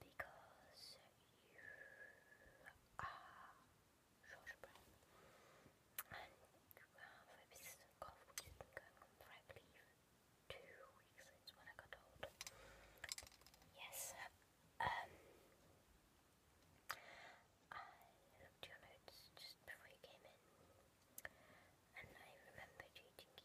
because you are short breath and you uh, have a persistent cough which has been going on for I believe two weeks since when I got told. Yes, um, I looked your notes just before you came in and I remembered reading you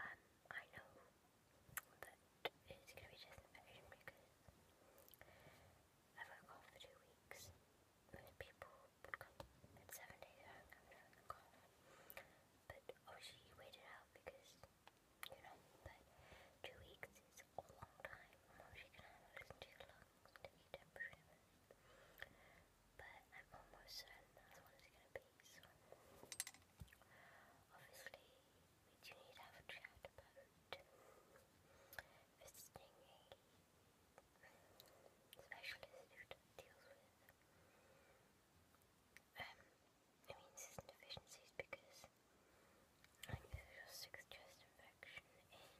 um, I know that it's going to be disinfection because I've got a cough for two weeks. Most people come at seven days of hangover from cough. But obviously you waited out because, you know, but two weeks is a long time. I'm obviously going to have to listen to your lungs temperature but I'm almost certain that's what it's gonna be, so obviously we do need to have a chat about visiting a specialist who deals with um immune system deficiencies because I think there's a sixth chest infection in two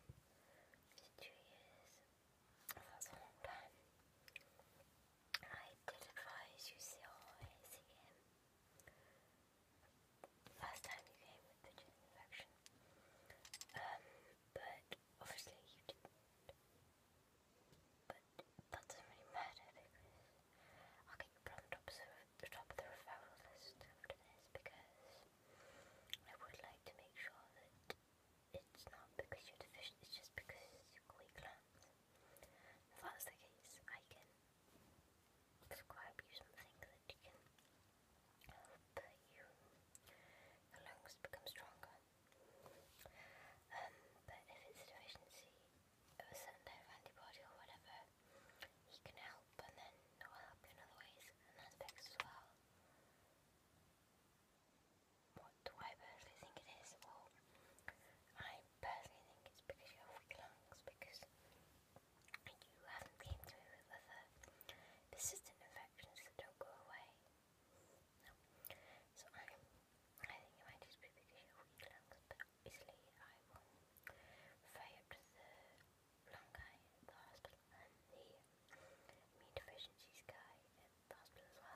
years. I did advise you see always again. Last time you came with the infection. Um, but obviously you didn't. Um, um, but that doesn't matter because I'll get you put on the top of the, the referral because I would like to make sure that it's not because you're deficient, it's just because you've If that's the case, I can prescribe you something that can help your lungs become stronger. Um, but if it's a deficiency of a certain antibody or whatever, he can help and then it will help you in other ways and aspects as well. What do I personally think it is? Well, I personally think it's because you have weak lungs, because you haven't been through with persistent infections that don't go away. So I, I think it might just be because you have weak lungs, but obviously I will refer up to the lung guy at the hospital and the immune deficiencies guy at hospital as well.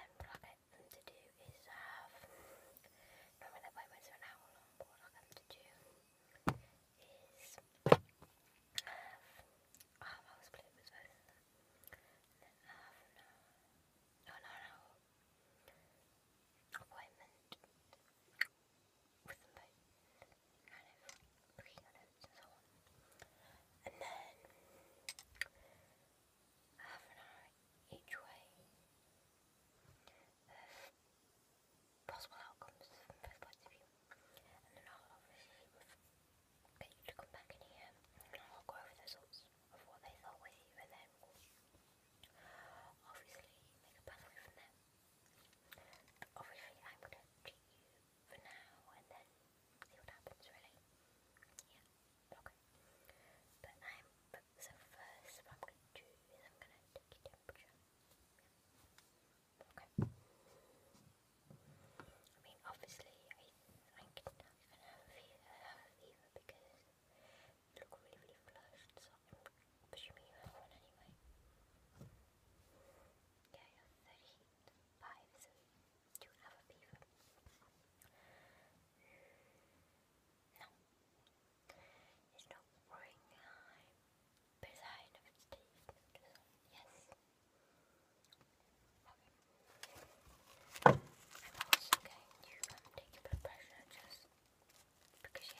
And what I get them to do is have, normally that appointments are an hour long, what I get them to do is have, oh I was with them, no, no, no, appointment with them kind and then half an hour each way possible outcomes from both of view. And then I'll you to come back in here and i the results of what they thought with you and then obviously make a pathway from there. But obviously I'm going to treat you for now and then see what happens really. Yeah, okay. But I'm, so first what I'm going to do is I'm going to take your temperature. Okay. I mean obviously I, I can have a fever because you look really, really flushed so but you mean you have anyway? Yeah, you're a beaver. No. It's not boring. I'm its teeth. Yes. Okay. I'm also going to um, take a blood pressure just because you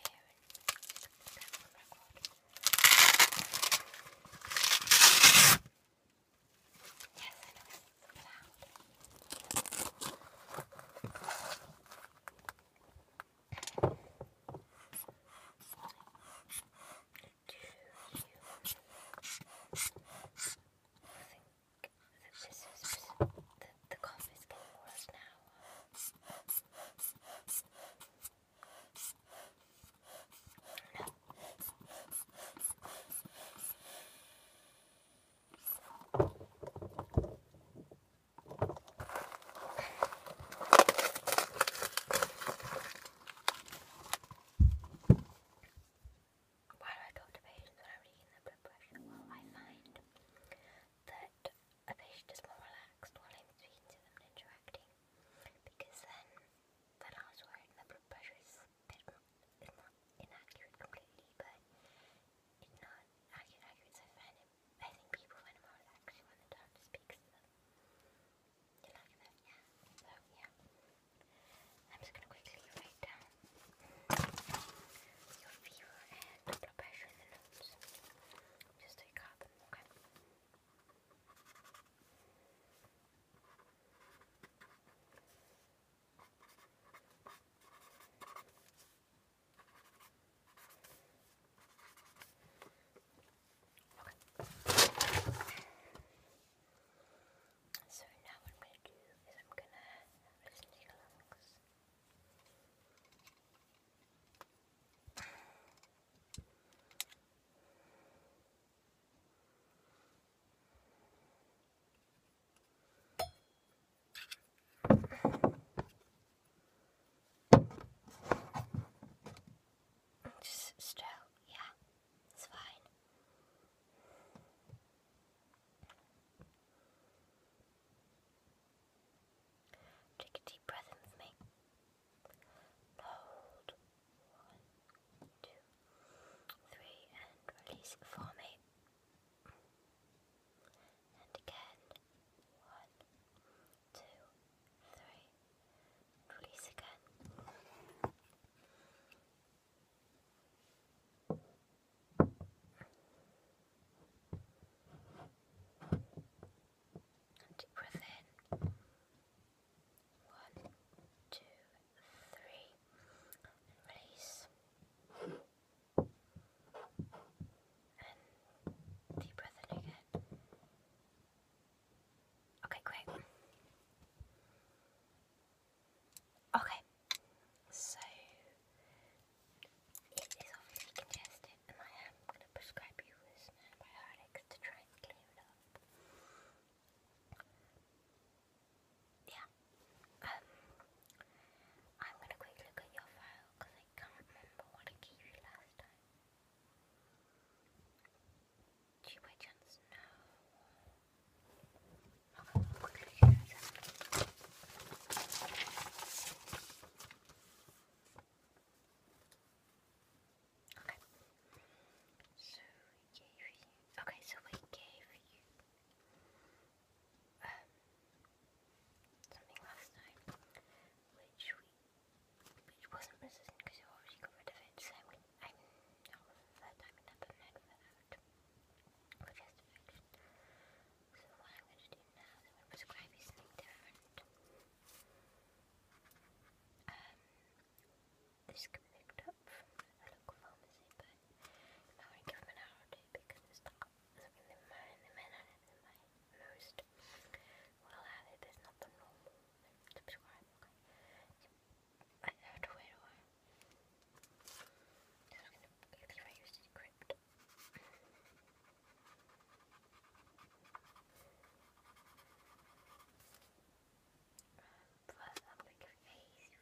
Yes, I know it's loud. I think that this is the, the cough is getting worse now. Why do I go to patients when I'm reading the blood pressure? Well, I find that a patient is more relaxed while I'm speaking to them and interacting because then that last word, the blood pressure is is not inaccurate completely, but it's not accurate, so I find it, I think people find it more relaxing when the doctor speaks You like that? Yeah. So, yeah. I'm just gonna quickly write down your fever and no pressure So now what I'm gonna do is I'm gonna listen to your lungs. Just still, yeah, it's fine. Take a deep breath in with me. Hold. One, two, three, and release for me. And again. One, two, three. release again deep breath in. One, two, three. release. deep breath in again. Okay, great. Okay, so it is obviously congested, and I am going to prescribe you some antibiotics to try and clear it up. Yeah, um, I'm going to quickly look at your file because I can't remember what I gave you last time. Do you by chance know? Okay, So we gave you okay, so we gave you um something last time which we which wasn't resistant because you already got rid of it, so I'm the third time in that, but i that. Which So what I'm going to do now is prescribe you something different. Um, this can be picked up from a local pharmacy, but I'm to give them an hour or two because it's not something they might, they might not they most. Well, have it, but not the normal prescribe, I have to wait a while. This is gonna use the crypt. Plus, I'm like a phase.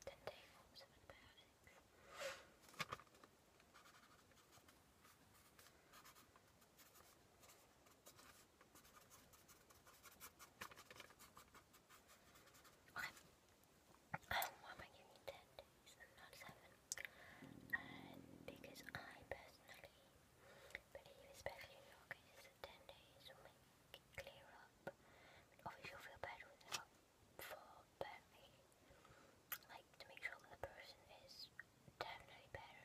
Ten day forms of antibiotics. Okay. why am I giving you 10 days not 7? Um, because I personally believe, especially in your case, that 10 days will make it clear up. Obviously, you'll feel better for, like to make sure that the person is definitely better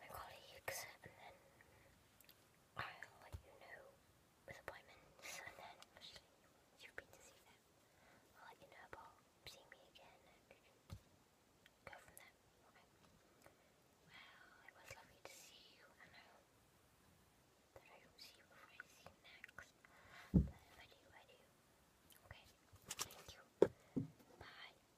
my colleagues, and then I'll let you know with appointments, and then you've been to see them. I'll let you know about seeing me again, and go from there. Okay. it was lovely to see you, and I hope that I will see you before I see you next. But if I do, I do. Okay. Thank you. Bye.